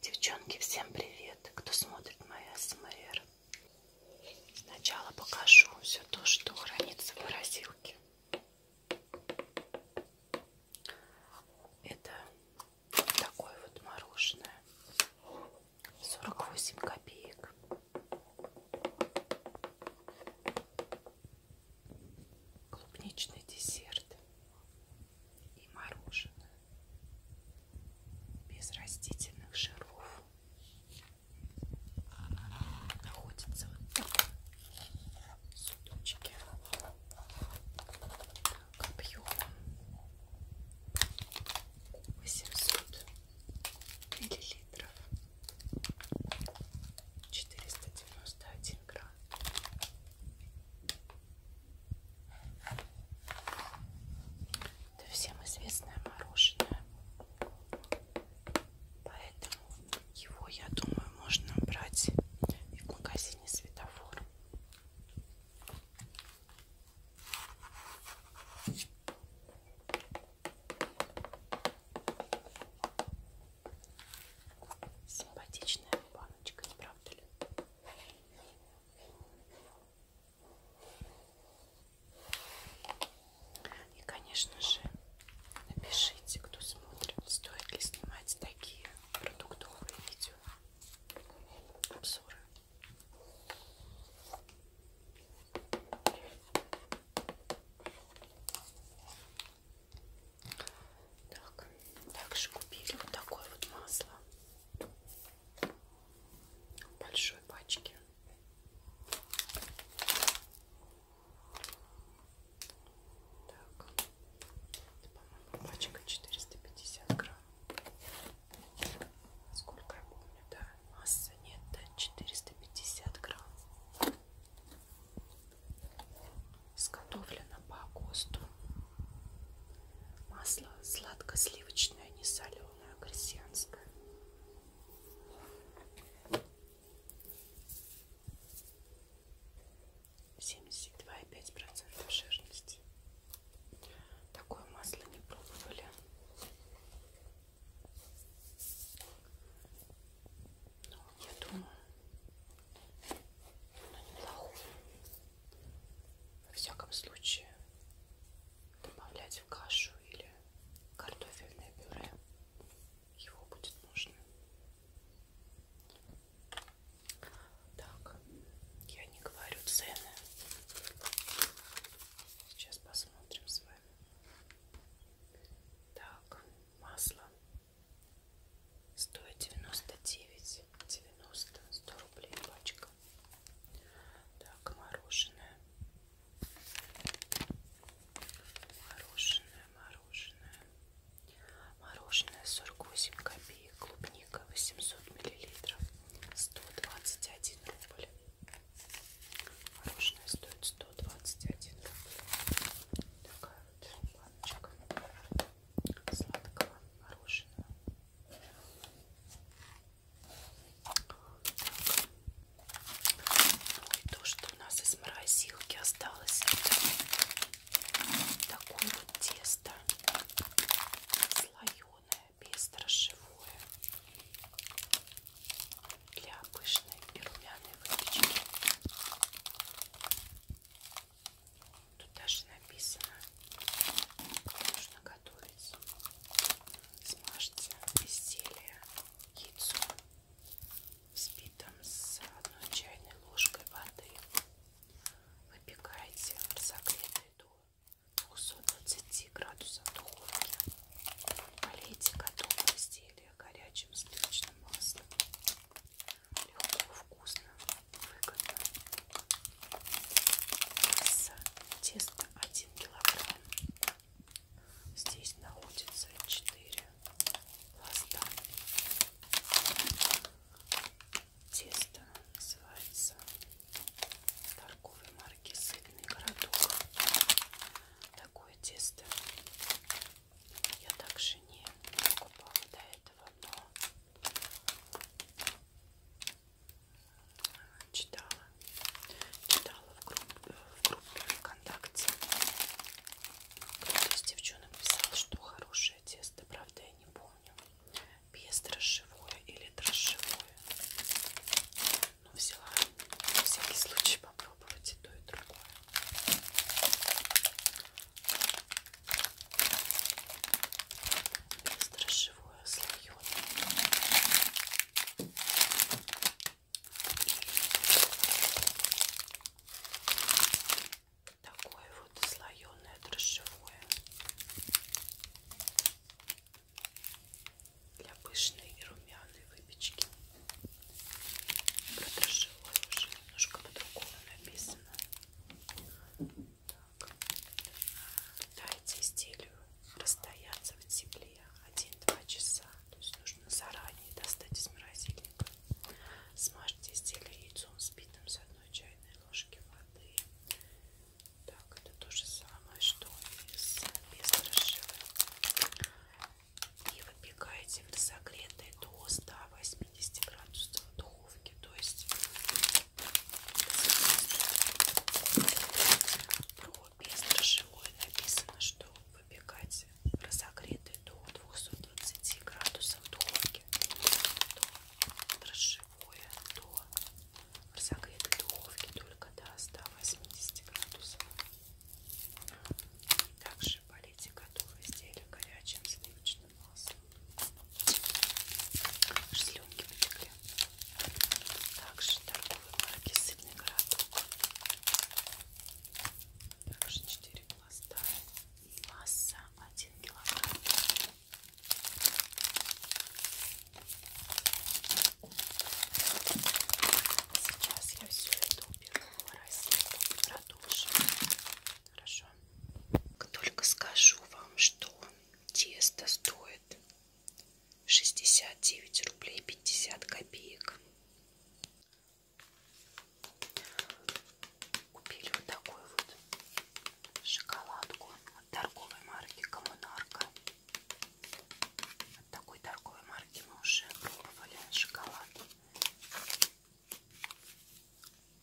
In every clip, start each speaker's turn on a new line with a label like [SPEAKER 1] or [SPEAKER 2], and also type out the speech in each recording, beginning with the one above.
[SPEAKER 1] Девчонки, всем привет, кто смотрит моя СМР. Сначала покажу все то, что хранится в морозилке. Это такое вот мороженое. 48 копеек. Клубничный десерт и мороженое без растительных жиров находится вот так судочки так, объем 800 миллилитров 491 грамм это всем известное мороженое. Поэтому его, я думаю, можно брать и в магазине светофор. Симпатичная баночка, не правда ли? И, конечно же, напишите, кто смотрит, стоит ли снимать такие продуктовые видео, обзоры. Так, также купили вот такое вот масло большой пачке. Так, по-моему, пачка 450 грамм. Сколько я помню, да? Масса нет, да, 450 грамм. Сготовлено по ГОСТу Масло сладко-сливочное, не соленое, крестьянское. Семьдесят два и пять процентов жирности. Такое масло не пробовали. Но ну, я думаю, оно неплохое во всяком случае добавлять в кашу или картофельное пюре его будет нужно. Так, я не говорю цены. Сейчас посмотрим с вами. Так, масло стоит девяносто девять девяносто сто рублей пачка немножко. Так, мороженое. Мороженое, мороженое. Мороженое 48 копеек, клубника 800 миллилитров, 121 рубль. Мороженое стоит 121 рубль. Такая вот баночка сладкого мороженого. Так. Ну и то, что у нас из морозилки осталось, это такое вот тесто слоеное, бездрожжевое для пышной и румяной выпечки. Тут даже написано, как нужно готовить. Смажьте изделие яйцом, взбитым с одной чайной ложкой воды. Выпекайте в разогретой до 220 градусов духовки. Полейте готовое изделие горячим сливочным маслом. Легко, вкусно выгодно. Масса теста 1 килограмм. Здесь находится 4 пласта. Тесто называется торговой марки «Сытный городок». Такое тесто я также не покупала до этого, но Читала. Читала в группе, в группе ВКонтакте. Кто-то из девчонок писал, что хорошее тесто, правда я не помню. Без дрожжевое или дрожжевое. Но ну, взяла на всякий случай попробовать и то, и другое. Бездрожжевое слоеное. Такое вот слоеное дрожжевое для пышной и румяной выпечки. Про дрожжевое уже немножко по-другому написано. Так. Дайте стилю расстояться в тепле 1-2 часа. То есть нужно заранее достать из морозильника. Смажьте стилю яйцом сбитым с одной чайной ложки воды. Так, это то же самое, что и с бездрожжевым. И выпекайте в разогретой до 180 градусов духовки. То есть про бездрожжевое написано, что выпекать разогретый до 220 градусов в духовке. То дрожжевое до разогретой духовки только до 180 градусов. Также полейте готовые изделия горячим сливочным нос. Аж слюнки потекли. Также торговые марки «Сытный городок». Также 4 пласта. Масса 1 килограмм. Сейчас я все это уберу, продолжим. Хорошо. Только скажу вам, что Тесто стоит 69 рублей 50 копеек. Купили вот такую вот шоколадку от торговой марки Коммунарка. От такой торговой марки мы уже пробовали шоколад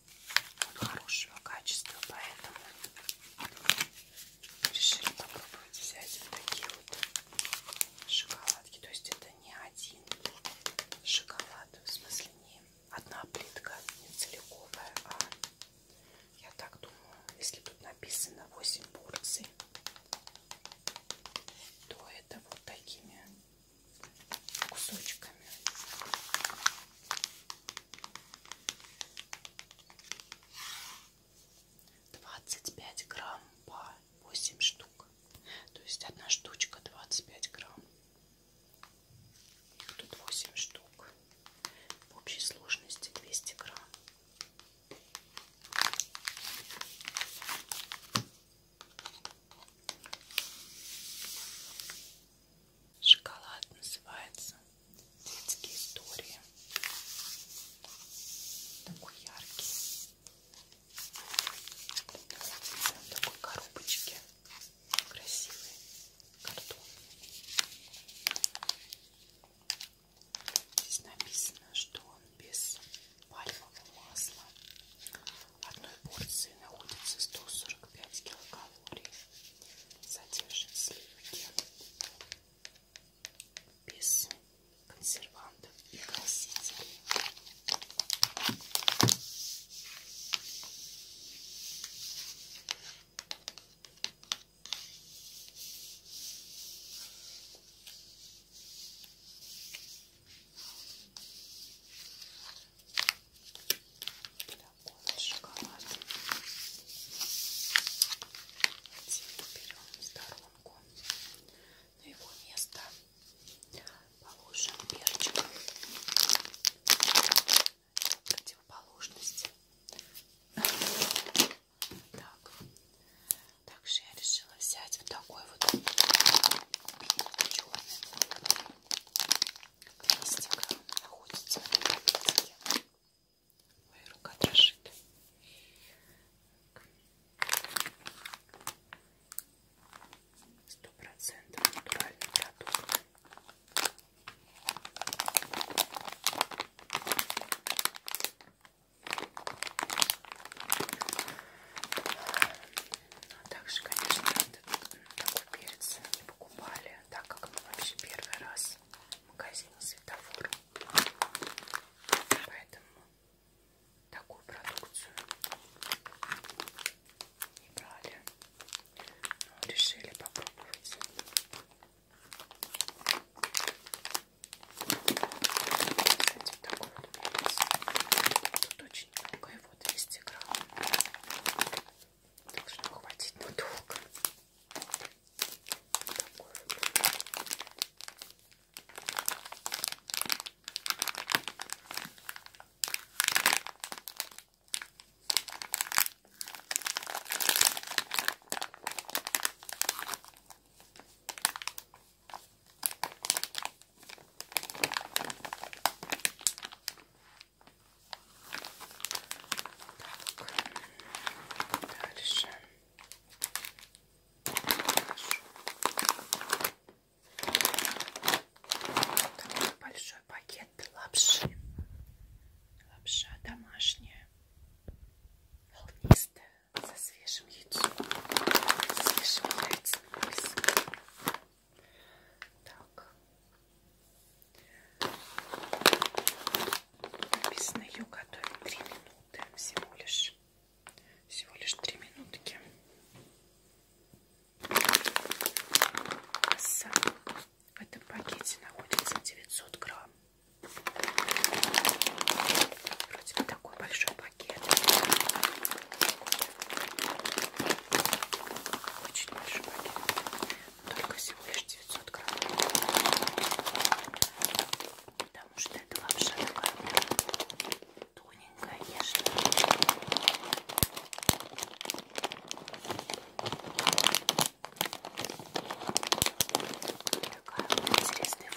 [SPEAKER 1] он хорошего качества, поэтому решили попробовать взять вот такие вот шоколадки. То есть это не один шоколад, в смысле не одна плитка, не целиковая, а я так думаю, если тут написано 8 порций, то это вот такими кусочками. 25 грамм по 8 штук. То есть одна штучка 25 грамм. Их тут 8 штук. В общей сложности 200 грамм. Шоколад называется детские истории. Такой яркий. В такой коробочке. Красивый картон. Здесь написано, что он без пальмового масла. В одной порции находится 145 килограмм калорий содержит сливки без консервантов и красителей такой вот шоколад. Один берем в сторонку. На его место положим перчик. Противоположность. Так. Также я решила взять вот такой вот черный листик. Находится в этой пакетике. Моя рука дрожит. Сто процентов натуральный продукт. Ну, а также, конечно, такой перец не покупали, так как мы вообще первый раз магазина светофора. Поэтому такую продукцию не брали. Но решили попробовать. Кстати, такой вот Тут очень много, его 200 грамм. Должно хватить надолго. Такой так, дальше. Такой большой пакет лапши. Лапша домашняя, волнистая, со свежим яйцом. Со свежим яйцем. Так, Написано ее готовить 3 минуты всего лишь. Всего лишь 3 минутки. Масса. В этом пакете находится 900 грамм. Вроде бы такой большой пакет. Очень большой пакет только всего лишь 900 грамм. Потому что это лапша такая тоненькая, нежная. Такая вот интересная форма.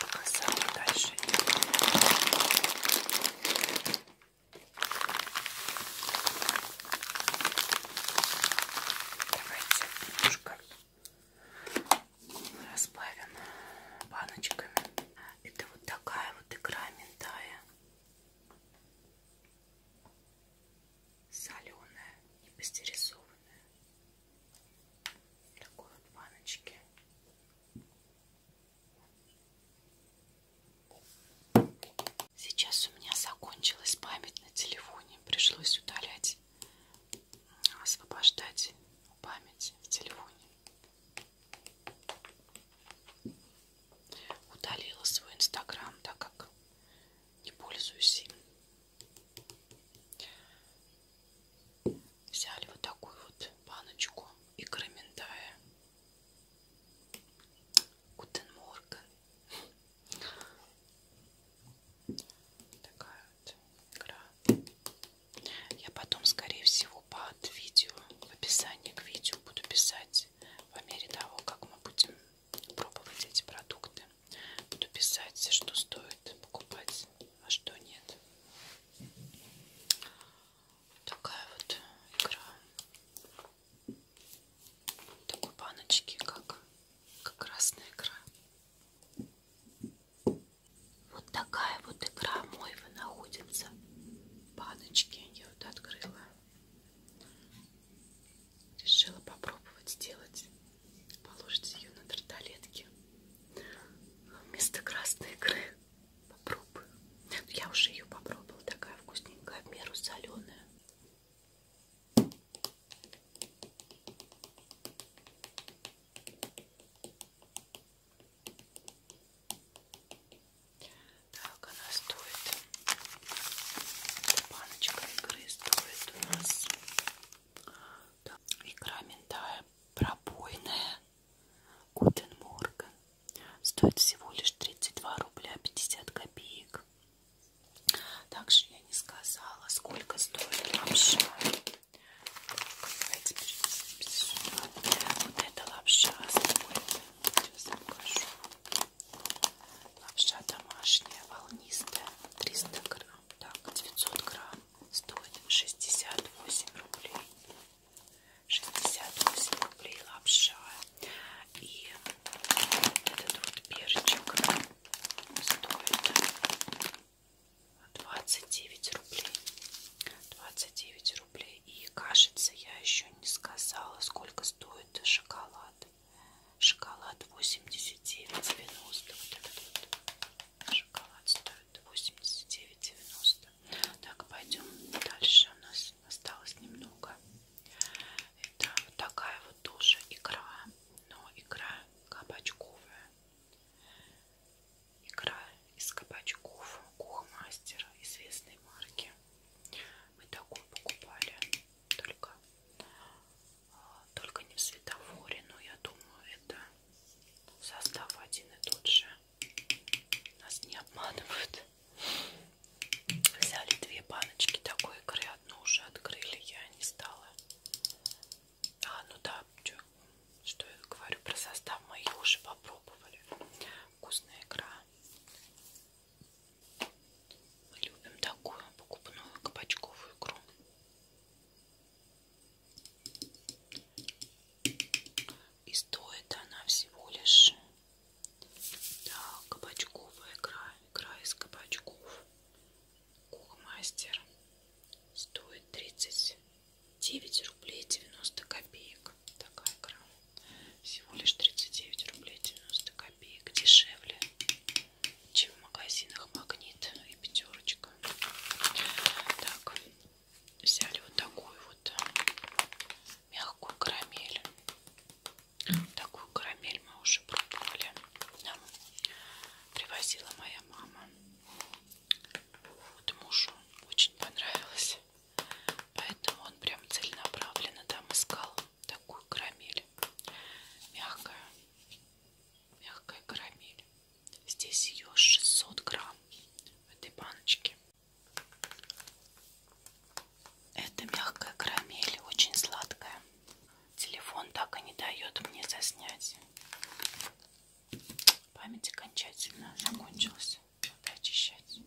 [SPEAKER 1] показала дальше. Давайте немножко разбавим баночками. Это вот такая вот игра ментая. Соленая и пастеризованная. Такой вот баночки. Сейчас у меня закончилась память на телефоне. Пришлось удалять, освобождать память в телефоне. Удалила свой инстаграм, так как не пользуюсь им. Взяли вот такую вот баночку икры миндая. Гутен Морген. Такая вот игра. Я потом, скорее всего, под видео, в описании к видео буду писать по мере того, как мы будем пробовать эти продукты. Буду писать, что стоит покупать, а что нет такая вот игра такой баночки как как красная игра вот такая вот игра мойва находится баночки я вот открыла решила попробовать сделать положить ее на тарталетки вместо красной икры Попробую. Ну, я уже ее попробовала, такая вкусненькая, в меру соленая. Так, она стоит. Эта баночка игры стоит у нас. Игра ментая пробойная Гутен Морган стоит всего лишь 32 рубля 50 копеек. Также я не сказала, сколько стоит лапша. Давайте перенесемся сюда. Вот эта лапша Сейчас покажу. Лапша домашняя, волнистая, 300 грамм. Так, 900 грамм стоит 68 рублей. 68 рублей лапша и этот вот перчик стоит 29 рублей 29 рублей и кажется я еще не сказала сколько стоит шоколад шоколад 89,90 вот этот вот шоколад стоит 89,90 пожалуйста. Так, пойдем дальше. У нас осталось немного. Это вот такая вот тоже икра, но икра кабачковая. Икра из кабачков Кухмастера известной марки. Мы такую покупали только, а, только не в светофоре, но я думаю, это состав один и тот же. Нас не обманывают. Взяли две баночки такой икры, одну уже открыли, я не стала. А, ну да, что, что я говорю про состав, мы ее уже попробовали. Вкусная икра. Мы любим такую покупную кабачковую икру. И стоит она всего лишь да, кабачковая игра, игра из кабачков. Кухмастер стоит 39 рублей 90 копеек. Такая игра. Всего лишь 39 рублей 90 копеек. Дешевле, чем в магазинах Магнит и Пятерочка. Так, взяли вот такую вот мягкую карамель. Такую карамель мы уже пробовали. Нам привозила моя мама. Вот мужу очень понравилось. Поэтому он прям целенаправленно там искал такую карамель. Мягкая. Мягкая карамель. Здесь ее 600 грамм в этой баночке. Это мягкая карамель, очень сладкая. Телефон так и не дает мне заснять. Память окончательно закончилась. Надо очищать.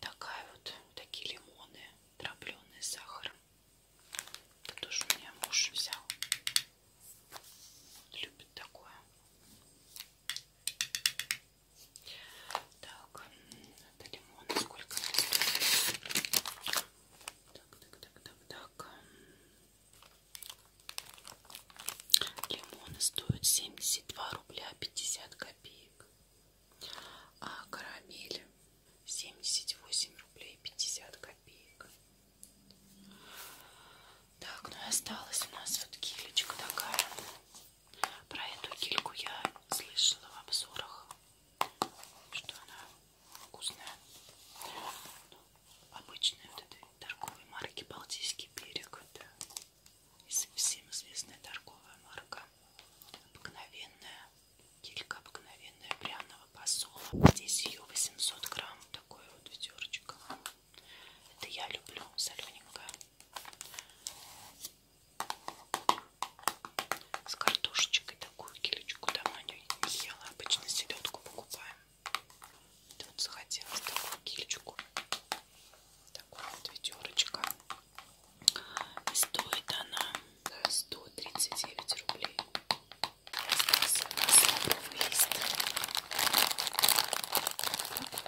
[SPEAKER 1] Такая вот, такие лимоны, дробленые с сахаром. Это тоже у меня муж взял. Любит такое. Так, это лимон сколько? Так, так, так, так, так. Лимоны стоят 72 рубля 50 копеек. А карамель 78 рублей 50 копеек. Так, ну и осталась у нас вот килечка такая. Про эту кильку я слышала в обзорах, что она вкусная. Ну, обычная вот этой торговой марки Балтийский берег. Это всем известная торговая марка. Обыкновенная килька обыкновенная пряного посола. Здесь ее 800 грамм. Такое вот ведерочко. Это я люблю солененькое. С картошечкой такую килечку давно не ела. Обычно селедку покупаем. Тут захотелось такую кильчику. Такая вот ведерочка. И стоит она 139 рублей. Остался у нас лавровый лист. Такой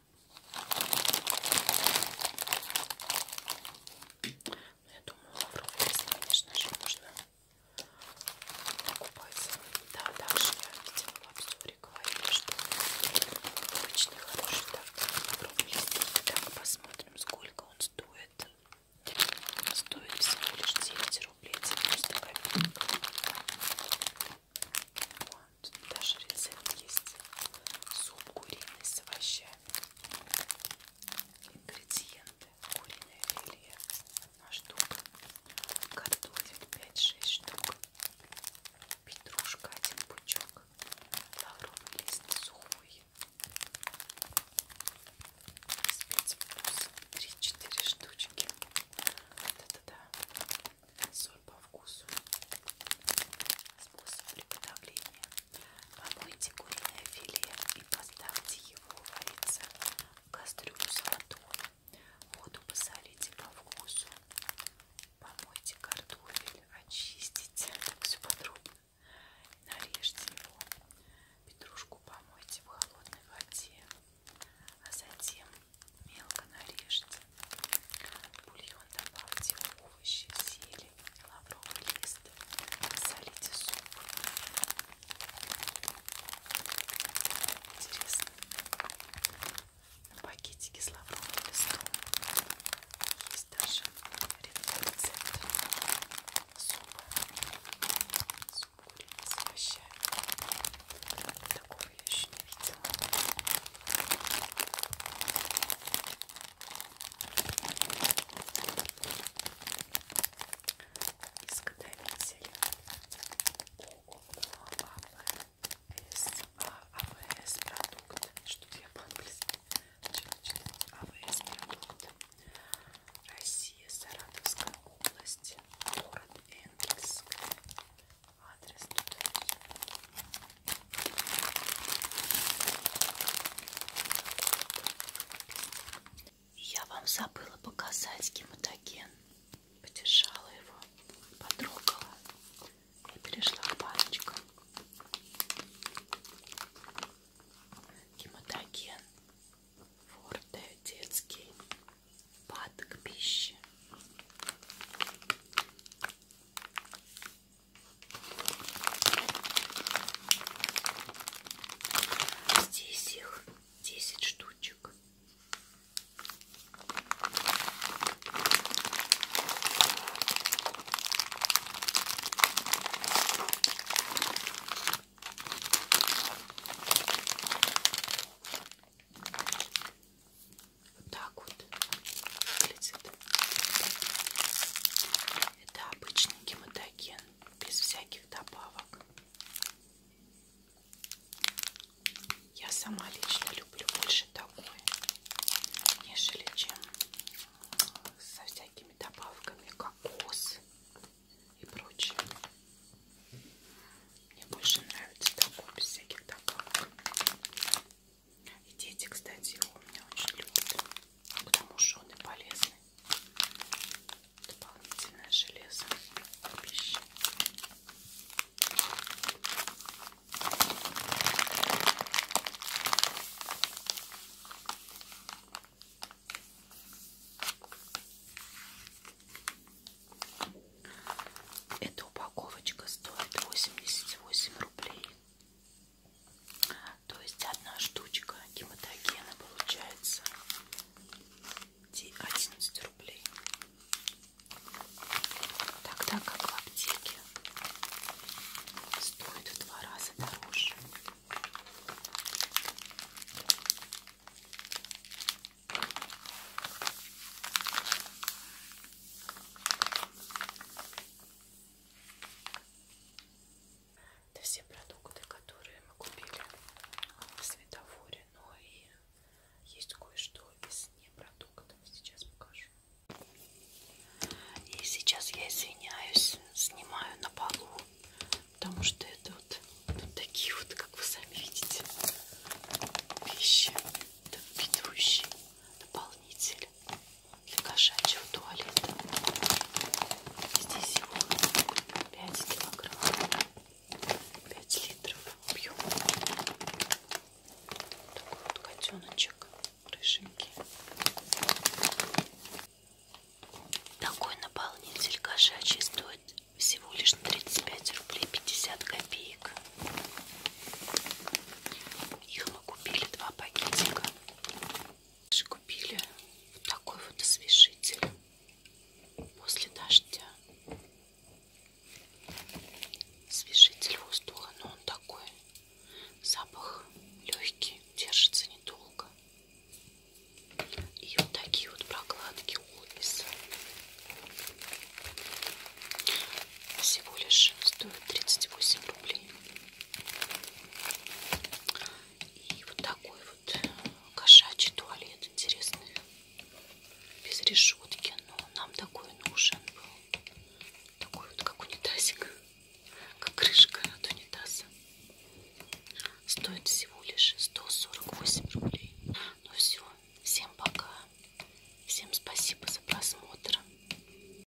[SPEAKER 1] Я думаю, лавровый лист, конечно же, нужно покупать. Да, также я видела в обзоре, говорили, что обычный хороший лавровый лист. Так, посмотрим, сколько он стоит. Он стоит всего лишь 9 рублей, 90 копеек. О, Тут даже рецепт есть. Суп куриный с овощами. Ингредиенты. Куриное филе на штук. Картофель 5-6 штук. Петрушка один пучок. Лавровый лист сухой. Спецвкус 3-4 штучки. Да-да-да. Соус соль по вкусу. Способ приготовления. Помойте куриное филе и поставьте его вариться в кастрюлю с водой. Воду посолите по вкусу. Помойте картофель, очистите. Так все подробно. Нарежьте его. Петрушку помойте в холодной воде. А затем мелко нарежьте. Бульон добавьте овощи, зелень, лавровый лист, солите суп. Интересно. На пакетике с лавровым листом есть даже рецепт супа. Суп куриный с овощами. Такого я еще не видела. Изготовитель АВС, АВС продукт, что я по-английски, АВС продукт, Россия, Саратовская область, город Энгельск, адрес туда. Я вам забыла показать гематоген. Подержала его, потрогала и перешла к баночкам. Гематоген форте детский пад к пище. Здесь их 10 штучек. Вот так вот выглядит. Это обычный гематоген, без всяких добавок. Я сама лично люблю больше такое, нежели чем э, со всякими добавками кокос и прочее. Мне больше нравится такой без всяких добавок. И дети, кстати, его у меня очень любят, потому что он и полезный. Дополнительное железо к пище. Эта упаковочка стоит 88 рублей. То есть одна штучка гематогена получается 11 рублей. Тогда как в аптеке стоит в два раза дороже. Это все продукты, которые мы купили в светофоре, но и есть кое-что из непродуктов. Сейчас покажу. И сейчас я извиняюсь, снимаю на полу, потому что это вот, вот такие вот, как вы сами видите, вещи, это ведущий дополнитель гель для кошачьего туалета. Здесь его 5 килограмм, 5 литров объема. Такой вот котеночек, рыженький. Такой наполнитель кошачий стоит всего лишь 35 рублей 50 копеек. Их мы купили два пакетика. Купили вот такой вот освежитель после дождя. Освежитель воздуха, но он такой. Запах легкий, держится недолго. И вот такие вот прокладки Олбиса. Всего лишь стоит 38 рублей. И вот такой вот кошачий туалет интересный. Без решетки, но нам такой нужен был. Такой вот как унитазик, как крышка от унитаза. Стоит всего лишь 148 рублей. Ну все, всем пока. Всем спасибо за просмотр.